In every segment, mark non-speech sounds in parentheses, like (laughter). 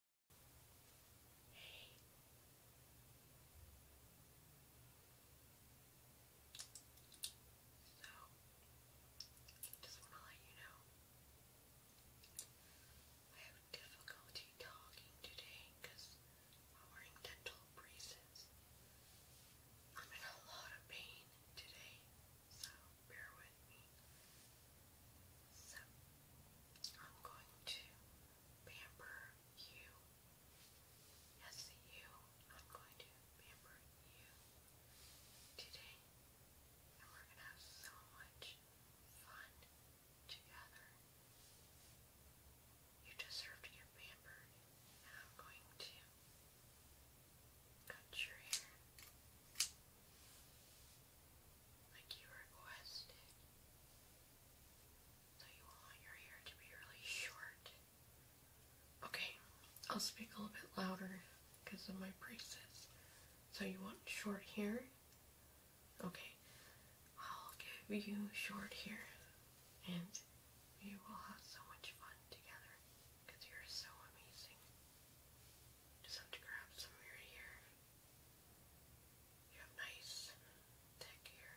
Hey. So, just want to let you know, I have difficulty talking today because I'm wearing dental braces. I'm in a lot of pain today, so bear with me. So, I'm going to pamper you. Yes, you. I'm going to pamper you today. And we're going to have so much fun together. You deserve to get pampered. And I'm going to cut your hair like you requested. So you want your hair to be really short. Okay, I'll speak a little bit louder because of my braces. So you want short hair? Okay, I'll give you short hair and you will have so much fun together because you're so amazing. Just have to grab some of your hair you have nice, thick hair.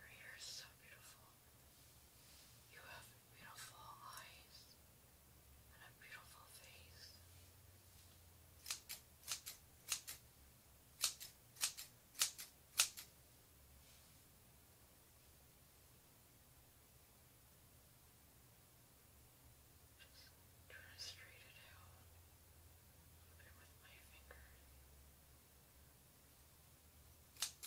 Your hair is so beautiful. You have beautiful eyes and a beautiful face. Just try to straighten it out a bit with my finger. Just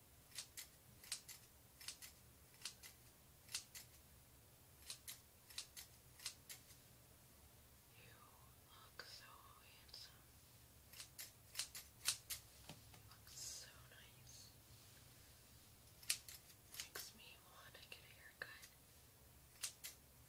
You look so handsome. You look so nice. Makes me want to get a haircut. I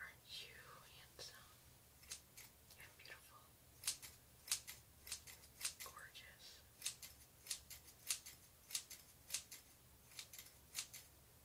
Aren't you handsome and beautiful? Gorgeous.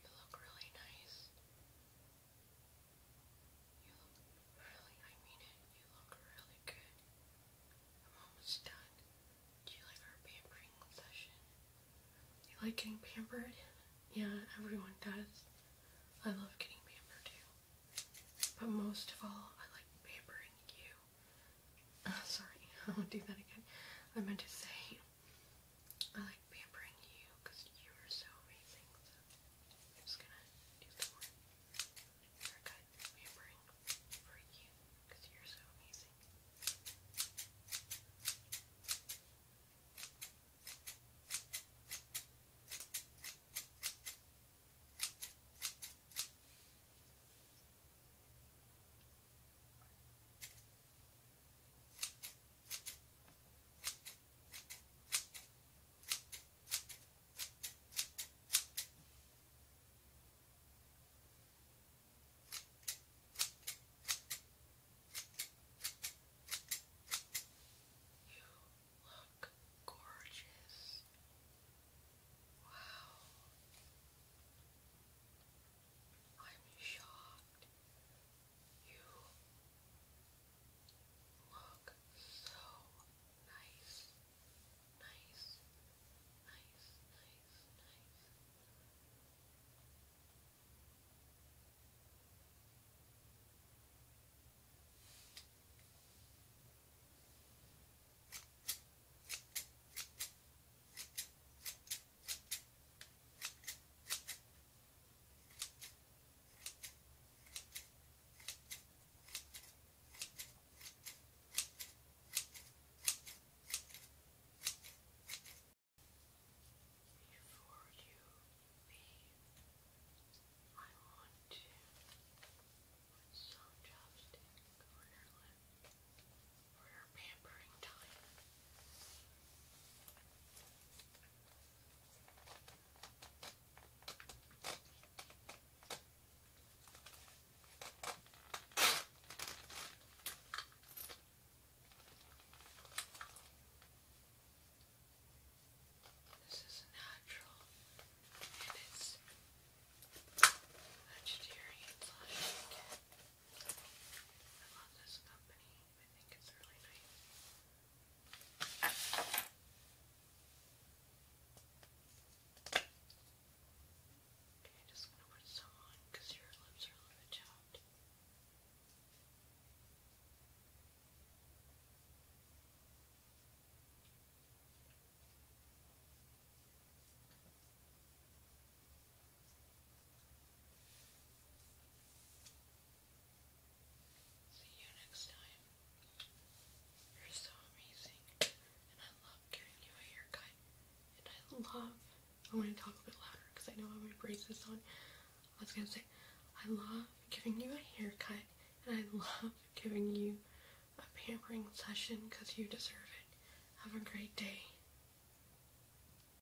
You look really nice. You look really, I mean it, you look really good. I'm almost done. Do you like our pampering session? You like getting pampered? Yeah, everyone does. I love getting pampered too. (laughs) But most of all, I like pampering you. (laughs) sorry, (laughs) I won't do that again. I meant to say, I like pampering you because you are so amazing. I'm just gonna do some more haircut pampering for you because you're so amazing. You look gorgeous. Wow. I'm shocked you look so nice, nice, nice, nice, nice. Thank you. Before you leave, I want to put some chopstick your lip for your pampering time. This is natural and it's vegetarian slash I love this company. I think Okay, I just want to put some on because your lips are a little chapped. See you next time. You're so amazing, and I love giving you a haircut. And I love. I want to talk a bit louder because I know I have my braces on. I was gonna say, I love giving you a haircut, and I love giving you a pampering session because you deserve it. Have a great day.